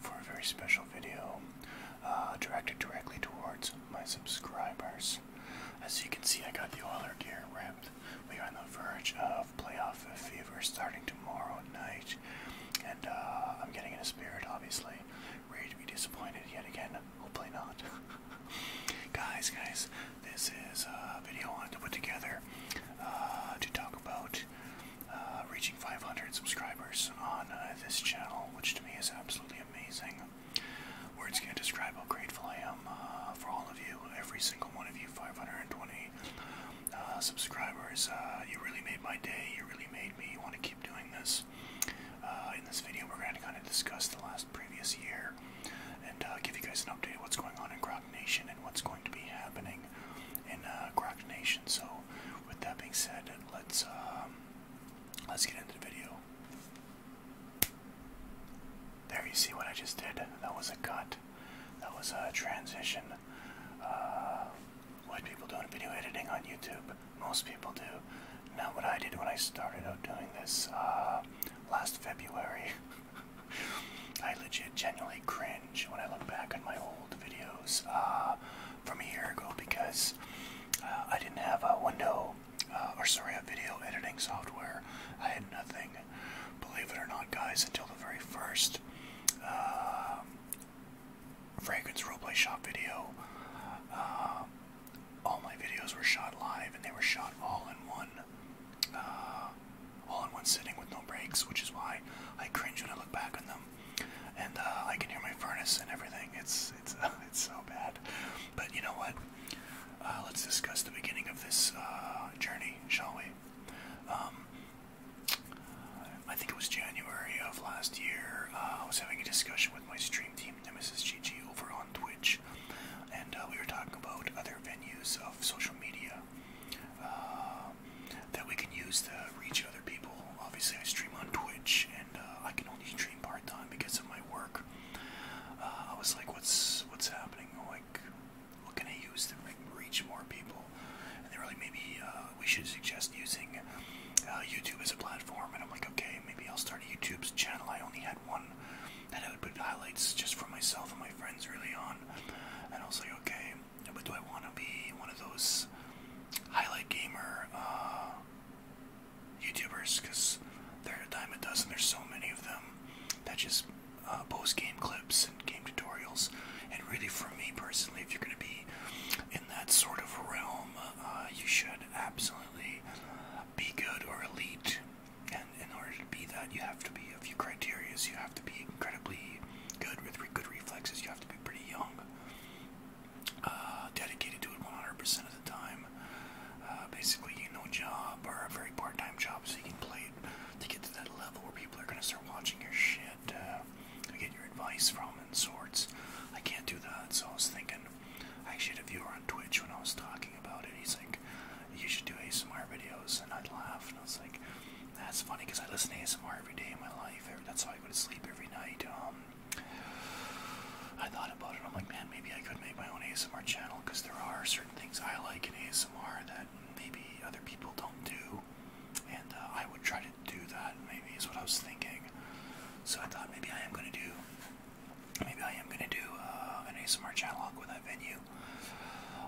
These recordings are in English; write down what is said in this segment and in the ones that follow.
for a very special video uh, directed directly towards my subscribers. As you can see, I got the Oiler gear ripped. We are on the verge of playoff fever starting tomorrow night, and uh, I'm getting in a spirit, obviously. Ready to be disappointed yet again. Hopefully not. guys, guys, this is a video I wanted to put together uh, to talk about uh, reaching 500 subscribers on uh, this channel, which to me is absolutely amazing. Words can't describe how grateful I am uh, for all of you, every single one of you, 520 subscribers. you really made my day. You really made me want to keep doing this. in this video, we're going to kind of discuss the last previous year and give you guys an update of what's going on in Grog Nation and what's going to be happening in uh, Nation. So, with that being said, let's um, let's get into the video. There, you see what I just did. That was a cut. That was a transition. Uh, what people do in video editing on YouTube, most people do. Not what I did when I started out doing this uh, last February, I legit genuinely cringe when I look back on my old old videos uh, from a year ago because uh, I didn't have a window uh, or sorry a video editing software. I had nothing, believe it or not, guys, until the very first uh, fragrance roleplay shop video. all my videos were shot live, and they were shot all in one, all in one sitting with no breaks, which is why I cringe when I look back on them and uh, I can hear my furnace and everything. It's it's it's so bad. But you know what? Uh, let's discuss the beginning of this uh, journey, shall we? Um, I think it was January of last year. I was having a discussion with my stream team, Nemesis GG, over on Twitch, and we were talking about other venues of social media. Um, that we can use to reach other people. Obviously, I stream on Twitch, and uh, I can only stream part time because of my work. Uh, I was like, "What's what's happening? Like, what can I use to reach more people?" And they were like, "Maybe uh, we should suggest using YouTube as a platform." And I'm like, "Okay, maybe I'll start a YouTube channel." I only had one that I would put highlights just for myself and my friends really on, and I was like, "Okay." But do I want to be one of those highlight gamer uh, YouTubers? Because there are a dime a dozen. There's so many of them that just uh, post game clips and game tutorials. And really, for me personally, if you're going to be in that sort of realm, uh, you should absolutely be good or elite. And in order to be that, you have to be a few criterias. You to be incredibly good with good reflexes. You have to be pretty young, uh, dedicated to it 100% of the time. Uh, basically, you know, job or a very part-time job, so you can play it to get to that level where people are gonna start watching your shit, uh, your advice from and sorts. I can't do that, so I was thinking. I actually had a viewer on Twitch when I was talking about it. He's like, you should do ASMR videos, and I'd laugh, and I was like, that's funny because I listen to ASMR every day in my life. That's I go to sleep every night. Um, I thought about it. I'm like, man, maybe I could make my own ASMR channel because there are certain things I like in ASMR that maybe other people don't do, and uh, I would try to do that. Maybe is what I was thinking. So I thought maybe I am gonna do. Maybe I am gonna do uh, an ASMR channel. with that venue.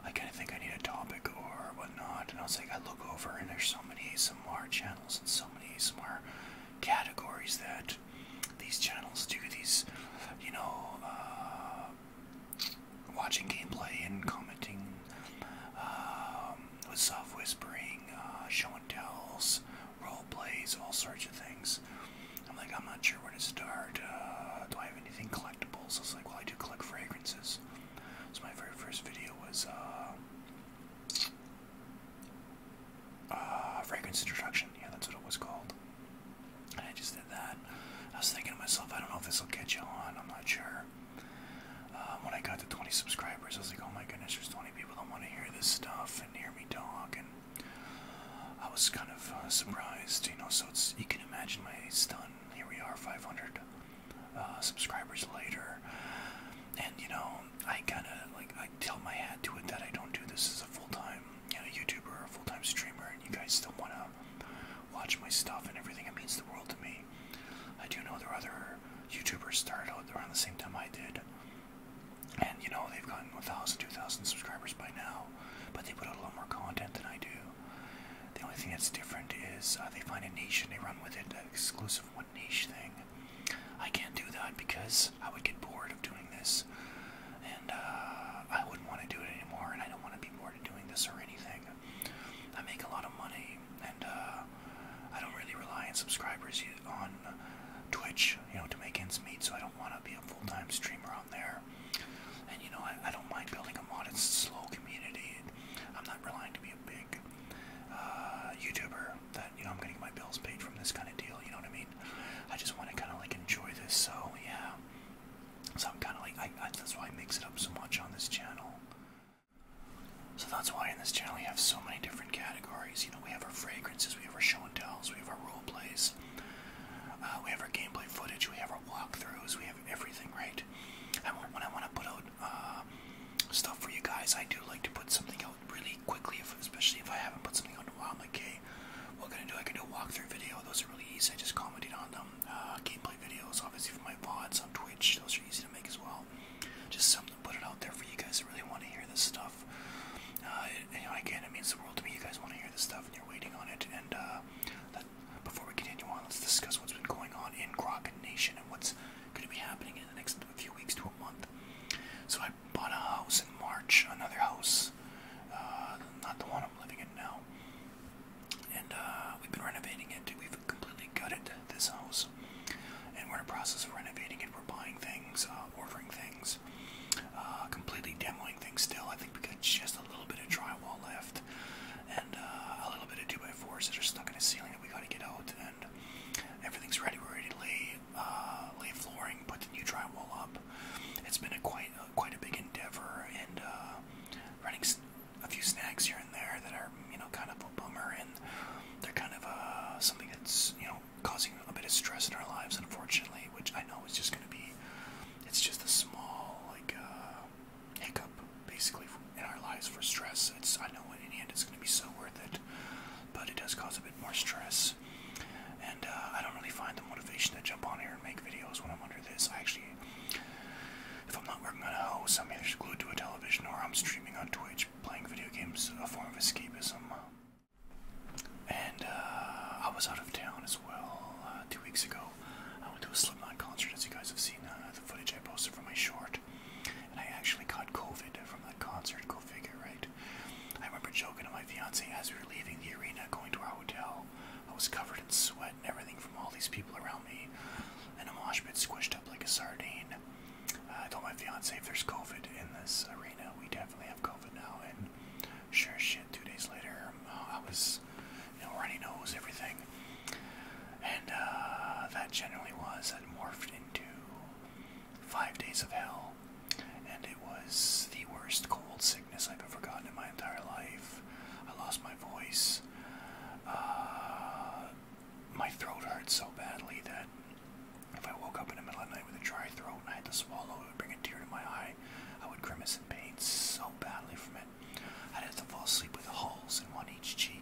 I kind of think I need a topic or whatnot, and I was like, I look over and there's so so many ASMR channels and so many smart categories that these channels do these, you know, uh, watching gameplay and commenting um, soft whispering, uh, show and tells, role plays, all sorts of things. I'm like, I'm not sure where to start. Uh, do I have anything collectibles? I was like, well, I do collect fragrances. So my very first video was a uh, uh, fragrance introduction. Yeah, that's what it was called. And I just did that. I was thinking to myself, I don't know if this will catch you on. I'm not sure. Um, when I got to 20 subscribers, I was like, oh my goodness, there's 20 people that want to hear this stuff and hear me talk. And I was kind of uh, surprised, you know. So it's you can imagine my stun. Here we are, 500. Uh, subscribers later. And you know, I kind of like I tell my hat to it that I don't do this as a full-time, you know, YouTuber, or full-time streamer, and you guys still wanna watch my stuff and everything. It means the world to me. I do know there are other YouTubers started around the same time I did, and you know they've gotten 1,000, 2,000 subscribers by now, but they put out a lot more content than I do. The only thing that's different is uh, they find a niche and they run with it exclusively focus of one niche thing. I can't do that because I would get bored of doing this, and uh, I wouldn't want to do it anymore. And I don't want to be bored of doing this or anything. I make a lot of money, and uh, I don't really rely on subscribers on Twitch, you know, to make ends meet. So I don't want to be a full-time streamer on there. And you know, I, I don't mind building a modest, slow community. I'm not relying to be big uh, YouTuber that you know I'm going my bills paid from this kind of deal. You know what I mean? I just want to kind of like enjoy this. So yeah. So I'm kind of like I, that's why I mix it up so much on this channel. So that's why in this channel we have so many different categories. You know, we have our fragrances, we have our show and tells, we have our role plays, uh, we have our gameplay footage, we have our walkthroughs, we have everything, right? I want, when I want to put out um, stuff for you guys. I do like to put something out really quickly, especially if I haven't put something out in a while. I'm like, hey, what can I do? I can do a walkthrough video. Those are really easy. I just commented on them. Uh, gameplay videos, obviously, for my VODs on Twitch. Those are easy to make as well. Just something to put it out there for you guys that really want to hear this stuff. Uh, you know, again, it means the world to me. You guys want to hear this stuff, and you're waiting on it. And uh, before we continue on, let's discuss what's been going on in Crockett Nation and what's going to be happening in the next few weeks to a month. So I bought a house in March, another house, uh, not the one I'm living in now. And uh, we've been renovating it. We've completely gutted this house, and we're in the process of renovating it. We're buying things, uh, ordering things, uh, completely demoing things. Still, I think we got just a little bit of drywall left, and uh, a little bit of two by fours that are stuck in a ceiling flooring that we got to get out, and everything's ready. We're ready to lay, uh, lay flooring, put the new drywall up. It's been a quite, uh, quite a big endeavor, and uh, running a few snags here and there that are, you know, kind of a bummer, and they're kind of uh, something that's, you know, causing a bit of stress in our lives, unfortunately. Which I know is just going to be, it's just a small like uh, hiccup basically in our lives for stress. It's I know in the end it's going to be so worth it, but it does cause a bit more stress. And uh, I don't really find the motivation to jump on here and make videos when I'm under this. I actually, if I'm not working on a house, I'm either glued to a television or I'm streaming on Twitch, playing video games, a form of escapism. And uh, I was out of town as well uh, two weeks ago. I went to a Slipknot concert, as you guys have seen the footage I posted from my short. And I actually caught COVID from that concert, go figure, right? I remember joking to my fiance as we were leaving the arena, going to our hotel. I was covered in sweat and everything from all these people around me, and a mosh pit squished up like a sardine. Uh, I told my fiance if there's COVID in this arena, we definitely have COVID now. And sure as shit, two days later, uh, I was, you know, runny nose, everything. And uh, that generally was, that morphed into Five Days of Hell, and it was the worst cold sickness I've ever gotten in my entire life. I lost my voice. Uh, my throat hurt so badly that if I woke up in the middle of the night with a dry throat and I had to swallow, it would bring a tear to my eye. I would grimace in pain so badly from it. I'd have to fall asleep with holes in one each cheek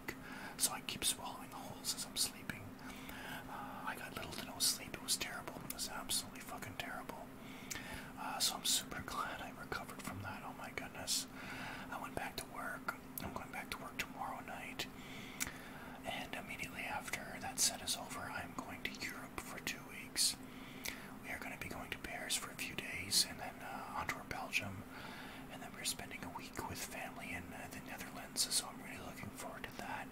so I keep swallowing the holes as I'm sleeping. Uh, I got little to no sleep. It was terrible. It was absolutely fucking terrible. Uh, so I'm super glad I recovered from that. Oh my goodness. I went back to work. I'm going back to work tomorrow night. And immediately after that set is over, I'm going to Europe for two weeks. We are going to be going to Paris for a few days and then uh, onto Belgium and then we're spending a week with family in uh, the Netherlands, so I'm really looking forward to that.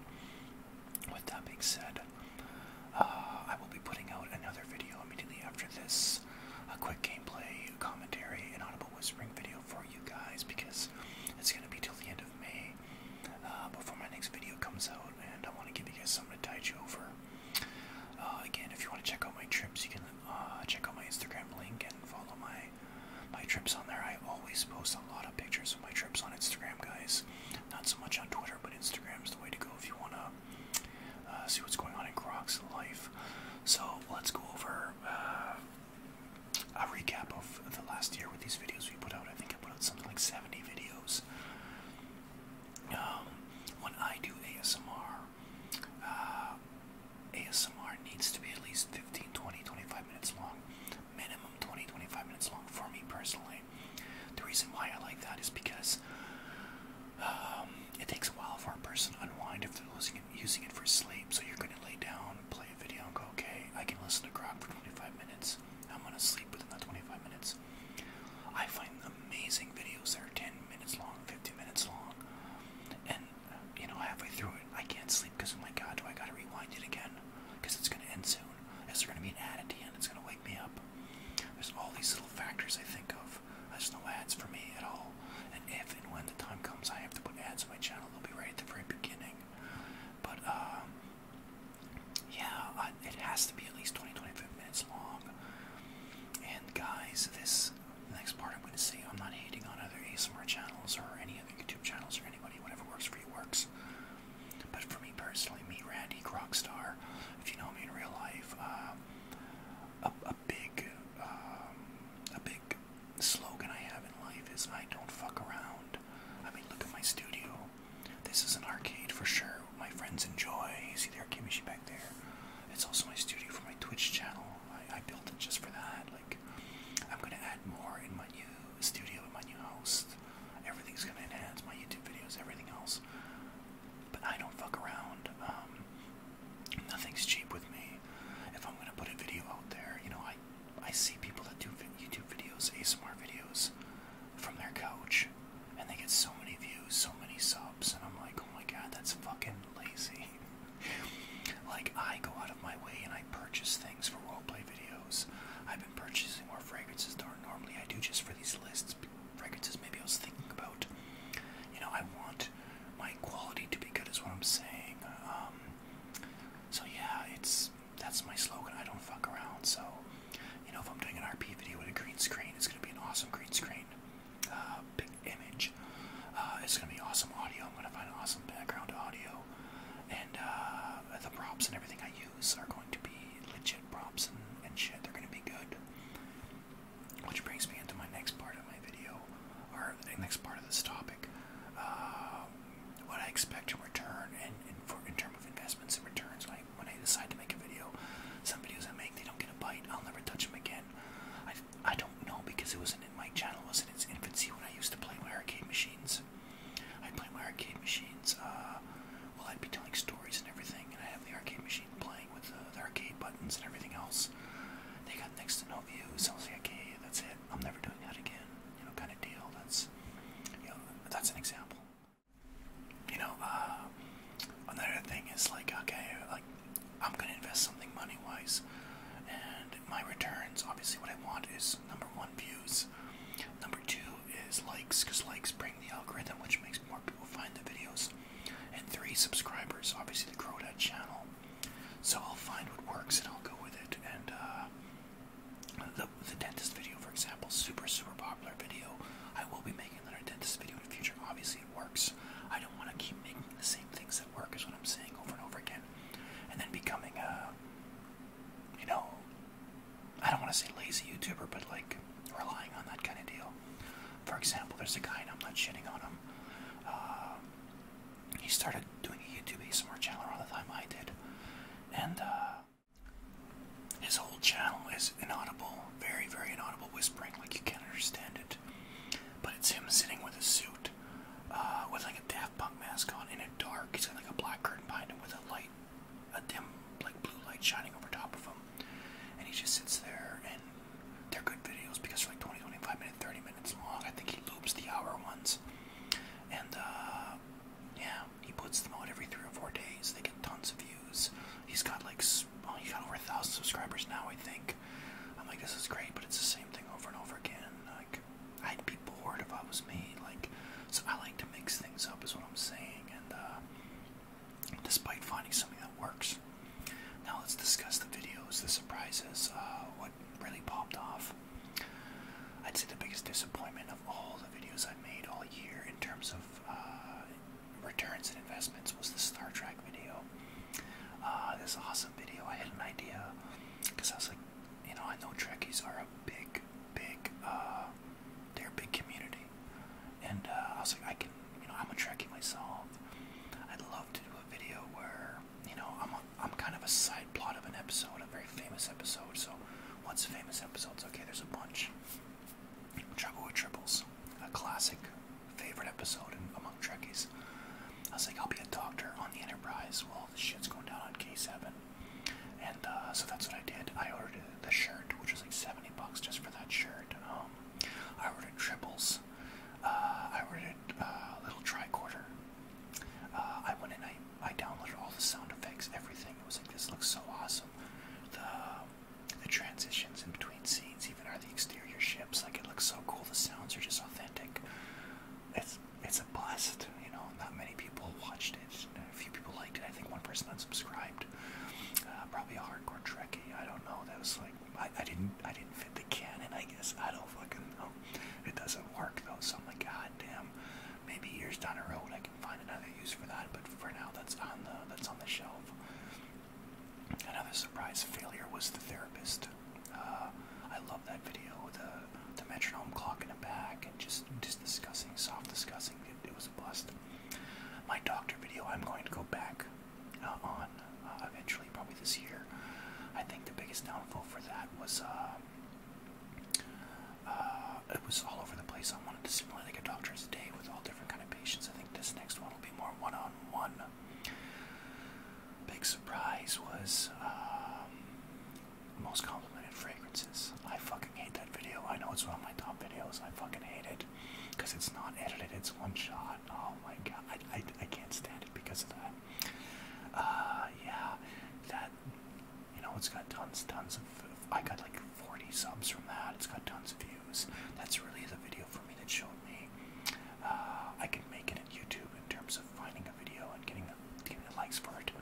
With that being said, uh, I will be putting out another video immediately after this, a quick gameplay, commentary, and audible whispering video for you guys because it's gonna be till the end of May uh, before my next video comes out, and I want to give you guys something to tide you over. again, if you want to check out my trips, you can check out my Instagram link and follow my my trips on there. I always post a lot of pictures of my trips on Instagram, guys. Not so much on Twitter, but Instagram is the way to go if you wanna uh, see what's going on in Croc's life. So let's go over uh, a recap of the last year with these videos we put out. I think I put out something like 70 videos. Um, when I do ASMR, uh, ASMR needs to be at least 15, 20, 25 minutes long. Minimum 20, 25 minutes long for me personally. The reason why I like that is because um, it takes a while for a person to unwind if they're using it, for sleep. So you're going to lay down, play a video, and go, okay, I can listen to Grog for 25 minutes. I'm going to sleep within that 25 minutes. I find amazing videos that are 10 minutes long, 50 minutes long, and you know, halfway through it, I can't sleep because I'm like, God, do I gotta rewind it again? Because it's gonna end soon. Is there gonna be an ad at the end? It's gonna wake me up. There's all these little factors I think of. There's no ads for me at all. And if and when the time comes, I have to put ads on my channel. They'll be right at the very beginning. But um, yeah, it has to be at least 20, 25 minutes long. And guys, this next part I'm going to say, I'm not hating on other ASMR channels or any other channels or anybody, whatever works for you works. But for me personally, me, Randy Crockstar, if you know me in real life, uh, a, big, um, a big slogan I have in life is I don't fuck around. I mean, look at my studio. This is an arcade for sure. My friends enjoy. You see their Kimishi back there. It's also my studio for my Twitch channel. I built it just for that. I'm gonna add more in my new studio in my new host. Everything's gonna enhance my YouTube videos, everything else. But I don't fuck around. Um, nothing's cheap with me. If I'm gonna put a video out there, you know, I I see people that do YouTube videos, ASMR videos, from their couch, and they get so many views, so many subs, and I'm like, oh my god, that's fucking lazy. like, I go out of my way and I purchase things for roleplay videos. I've been purchasing more fragrances than normally I do just for these lists. Fragrances maybe I was thinking about. You know, I want my quality to be good, is what I'm saying. Um, so, yeah, it's that's my slogan. I don't fuck around. So, you know, if I'm doing an RP video with a green screen, it's going to be an awesome green screen. Uh, big image. Uh, it's gonna be awesome audio. I'm gonna find awesome background audio and uh, the props and everything I use are going to be legit props and, shit. They're going to be good. Which brings me into my next part of my video, or the next part of this topic. Uh, what I expect in return, and, in terms of investments and returns, when I, when I decide to make a video, some videos I make, they don't get a bite. I'll never touch them again. I, I don't no, because it wasn't in my channel was in its infancy when I used to play my arcade machines. I play my arcade machines. Uh, well, I'd be telling stories and everything, and I have the arcade machine playing with uh, the, arcade buttons and everything else. They got next to no views. I was like, okay, that's it. I'm never doing that again. You know, kind of deal. That's, you know, that's an example. You know, uh, another thing is like, okay, like I'm gonna invest something money-wise, and my returns. Obviously, what I want is Number one, views. Number two is likes, because likes bring the algorithm, which makes more people find the videos. And three, subscribers. Obviously, the grow that channel. So I'll find what works and I'll go with it. And uh, the the dentist video, for example, super super popular video. I will be making another dentist video in the future. Obviously, it works. I don't want to keep making the same things that work. Is what I'm saying over and over again and then becoming a, you know, I don't want to say lazy YouTuber, but like relying on that kind of deal. For example, there's a guy, and I'm not shitting on him. Uh, he started doing a YouTube ASMR channel around the time I did, and uh, his whole channel is inaudible, very, very inaudible whispering, like you can't understand it. But it's him sitting with a suit, uh, with like a half punk mask on in a dark. He's got like a black curtain behind him with a light, a dim like blue light shining over top of him. And he just sits there and they're good videos because they're like 20, 25 minutes, 30 minutes long. I think he loops the hour ones. And uh yeah, he puts them out every three or four days. They get tons of views. He's got like well, he's got over a thousand subscribers now, I think. I'm like, this is great, but it's the same thing over and over again. Like, I'd be bored if I was me. Like, so I like to mix things up, is what I'm saying. And uh, despite finding something that works, now let's discuss the videos, the surprises, uh, what really popped off. I'd say the biggest disappointment of all the videos I made all year in terms of uh, returns and investments was the Star Trek video. Uh, this awesome video, I had an idea because I was like, you know, I know Trekkies are a big, big, uh, they're a big community. And uh, I was like, I can, you know, I'm a Trekkie myself. I'd love to do a video where, you know, I'm, a, I'm kind of a side plot of an episode, a very famous episode. So, what's a famous episode? Okay, there's a bunch. Trouble with Triples, a classic favorite episode among Trekkies. I was like, I'll be a doctor on the Enterprise. Well, all oh, shit's going down on K7. And uh, so that's what I did. I ordered the shirt, which was like 70 bucks just for that shirt. Um, I ordered triples. Uh, I ordered uh, a little tricorder. I went and I, I downloaded all the sound effects, everything. It was like, this looks so awesome. The, the transitions in between scenes, even are the exterior ships. Like, it looks so cool. The sounds are just authentic. It's it's a bust. You know, not many people watched it. A few people liked it. I think one person unsubscribed. Uh, probably a hardcore Trekkie. I don't know. That was like I, I didn't I didn't fit the canon. I guess I don't fucking know. It doesn't work though. So I'm like, god damn. Maybe years down the road I can find another use for that. But for now, that's on the that's on the shelf. Another surprise failure was the therapist. Um, I love that video with the, the metronome clock in the back and just just discussing soft discussing. It, was a blast. My doctor video I'm going to go back uh, on uh, eventually, probably this year. I think the biggest downfall for that was uh, it was all over the place. I wanted to simulate a doctor's day with all different kind of patients. I think this next one will be more one-on-one. Big surprise was um, most complimented fragrances. I fucking hate that video. I know it's one of my top videos. I fucking hate it because it's not edited. It's one shot. Oh my god, I, I, I can't stand it because of that. Uh, yeah, that you know it's got tons, tons of. I got like 40 subs from that. It's got tons of views. That's really the video for me that showed me uh, I can make it in YouTube in terms of finding the video and getting the, getting the likes for it.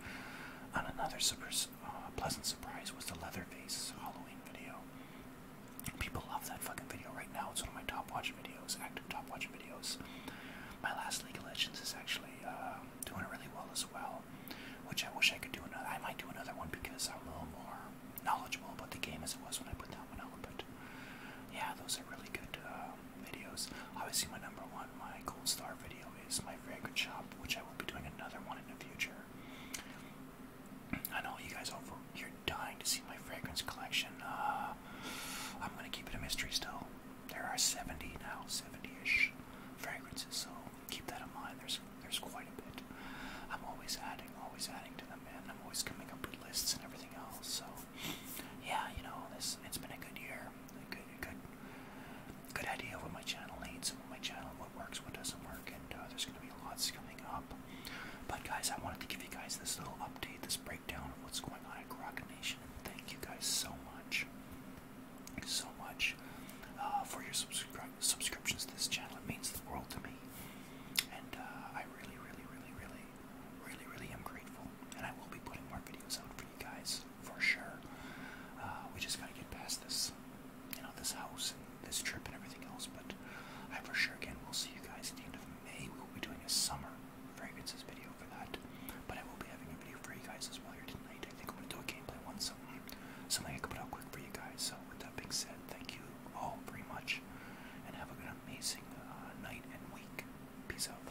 And another super uh, pleasant surprise was the Leatherface Halloween video. People love that fucking video right now. It's one of my top watch videos, active top watch videos. My last League of Legends is actually uh, doing really well as well, which I wish I could do another. I might do another one because I'm a little more knowledgeable about the game as it was when I put that one out. But yeah, those are really good uh, um, videos. Obviously, my number one, my gold star video is my fragrance shop, which I will be doing another one in the future. I know you guys over here dying to see my fragrance collection. Uh, I'm gonna keep it a mystery still. There are 70 now, 70-ish fragrances, so keep that in mind. There's there's quite a bit. I'm always adding, always adding to them, and I'm always coming up with lists and everything else. So yeah, you know, this it's been a good year good, good, good idea what my channel needs what my channel, what works, what doesn't work, and uh, there's going to be lots coming up. But guys, I wanted to give you guys this little update, this breakdown of what's going on at Grok Nation. Thank you guys so much, so much uh, for your subscriptions to this channel. It means the world to me, and uh, I really, really, really, really, really, really am grateful. And I will be putting more videos out for you guys for sure. Uh, we just gotta get past this, you know, this house and this trip and everything else. But I for sure again will see you guys at the end of May. We will be doing a summer fragrances video for that. But I will be having a video for you guys as well here tonight. I think I'm gonna do a gameplay one, something, something I can put out quick for you guys. So with that being said, thank you all very much, and have an amazing uh, night and week. Peace out.